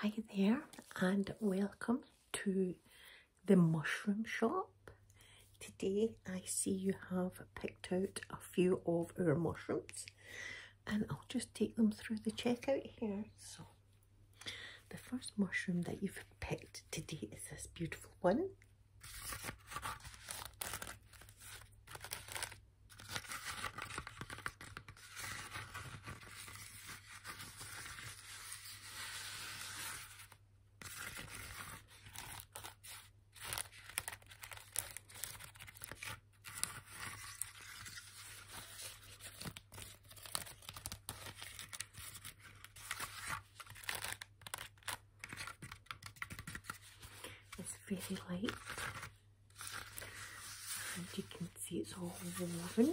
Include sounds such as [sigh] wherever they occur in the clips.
Hi there, and welcome to the mushroom shop. Today I see you have picked out a few of our mushrooms and I'll just take them through the checkout here. So, the first mushroom that you've picked today is this beautiful one. It's very light and you can see it's all woven.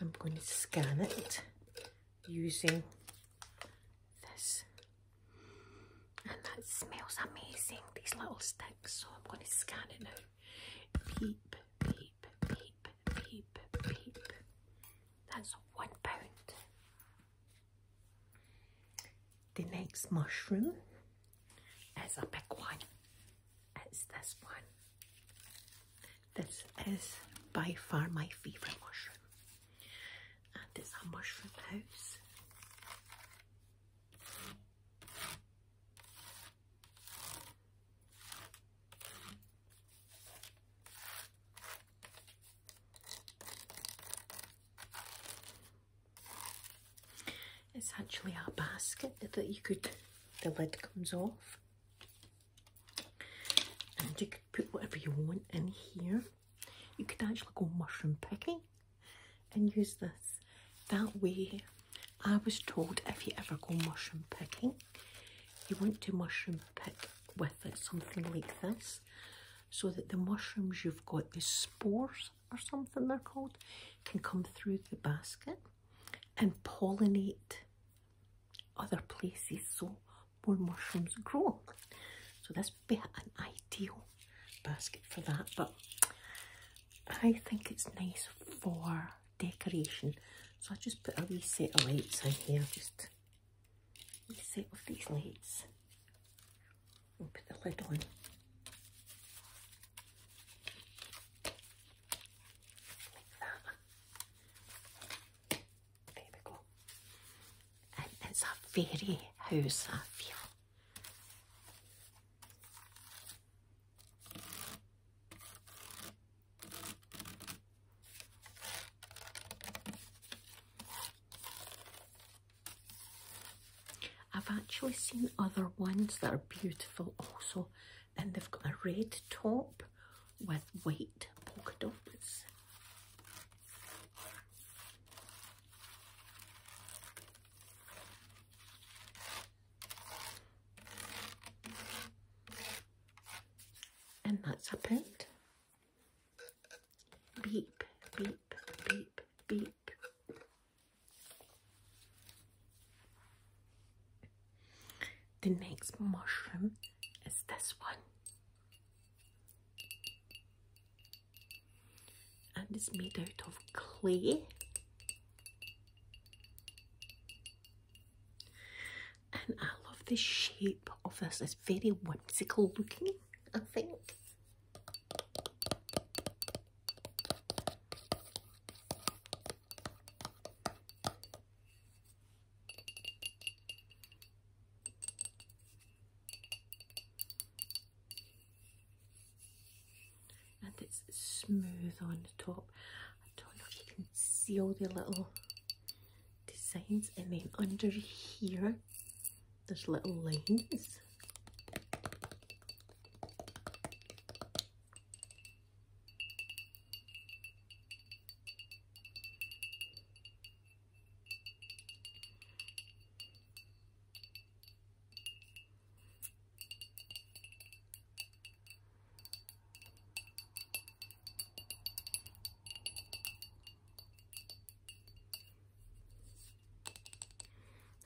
I'm going to scan it using this. And that smells amazing, these little sticks. So I'm going to scan it now. Peep, peep, peep, peep, peep. That's one pound. The next mushroom is a big one is this one. This is by far my favourite mushroom, and it's a mushroom house. It's actually a basket that you could, the lid comes off, and you could put whatever you want in here. You could actually go mushroom picking and use this. That way, I was told if you ever go mushroom picking, you want to mushroom pick with it, something like this, so that the mushrooms you've got, the spores or something they're called, can come through the basket and pollinate other places so more mushrooms grow. So this be an ideal basket for that, but I think it's nice for decoration. So I just put a wee set of lights in here, just a set of these lights. And put the lid on. There we go. And it's a very house I've actually seen other ones that are beautiful also, and they've got a red top with white polka dots. And that's happened? pound. Beep, beep, beep, beep. The next mushroom is this one, and it's made out of clay. And I love the shape of this, it's very whimsical looking, I think and it's smooth on the top. I don't know if you can see all the little designs and then under here there's little lines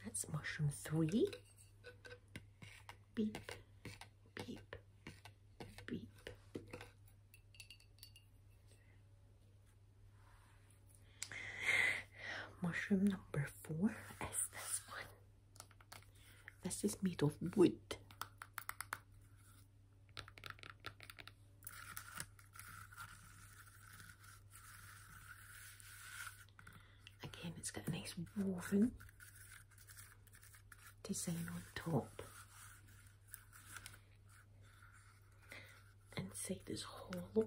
that's mushroom three. Beep, beep, beep. Mushroom number four is this one. This is made of wood. Again, it's got a nice woven design on top. and see this hole.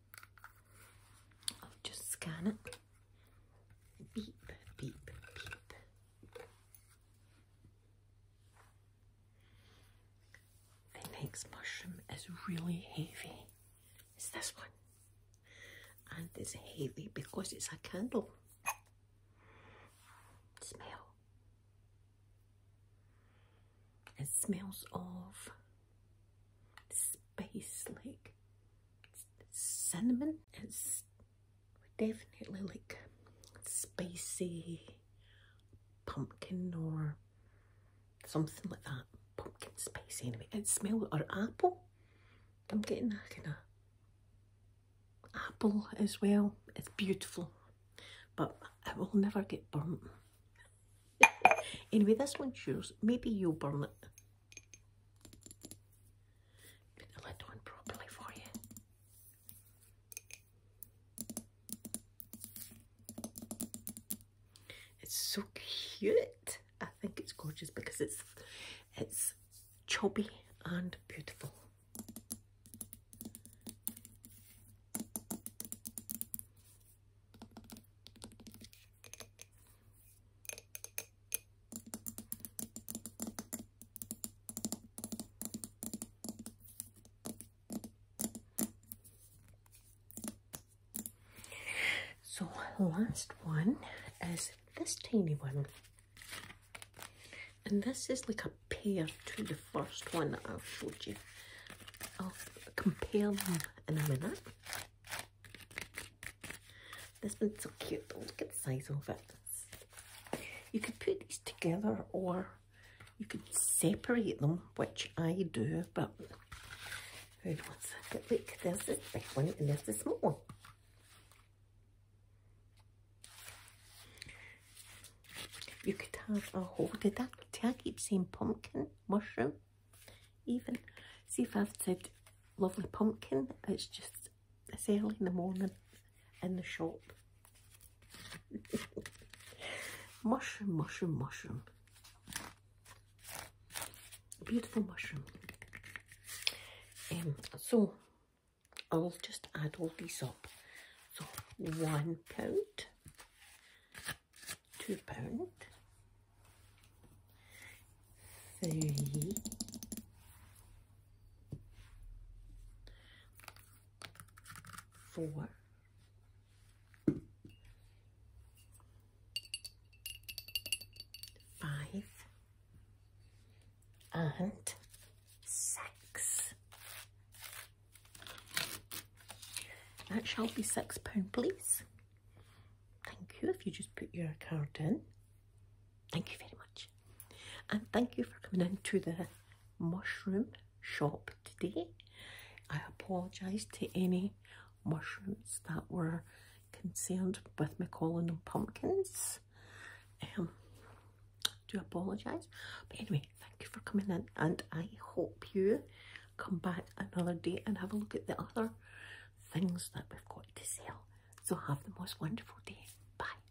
I'll just scan it. Beep, beep, beep. The next mushroom is really heavy. It's this one. And it's heavy because it's a candle. Smell. It smells of space, like cinnamon. It's definitely like spicy pumpkin or something like that. Pumpkin spicy anyway. It smells or apple. I'm getting a kind of apple as well. It's beautiful, but it will never get burnt anyway, this one's yours. Maybe you'll burn it. Put the lid on properly for you. It's so cute. I think it's gorgeous because it's it's chubby and beautiful. So, last one is this tiny one, and this is like a pair to the first one i showed you. I'll compare them in a minute. This one's so cute, look at the size of it. You could put these together or you could separate them, which I do, but who knows? But look, there's this big one and there's the small one. You could have a whole, did that, did I keep saying pumpkin? mushroom even see if I've said lovely pumpkin it's just it's early in the morning in the shop [laughs] mushroom mushroom mushroom beautiful mushroom um, so I'll just add all these up so one pound two pound three four five and six that shall be six pound, please. Thank you if you just put your card in. Thank you very much. And thank you for coming into the mushroom shop today. I apologise to any mushrooms that were concerned with me calling them pumpkins. Um, do apologise. But anyway, thank you for coming in and I hope you come back another day and have a look at the other things that we've got to sell. So have the most wonderful day. Bye.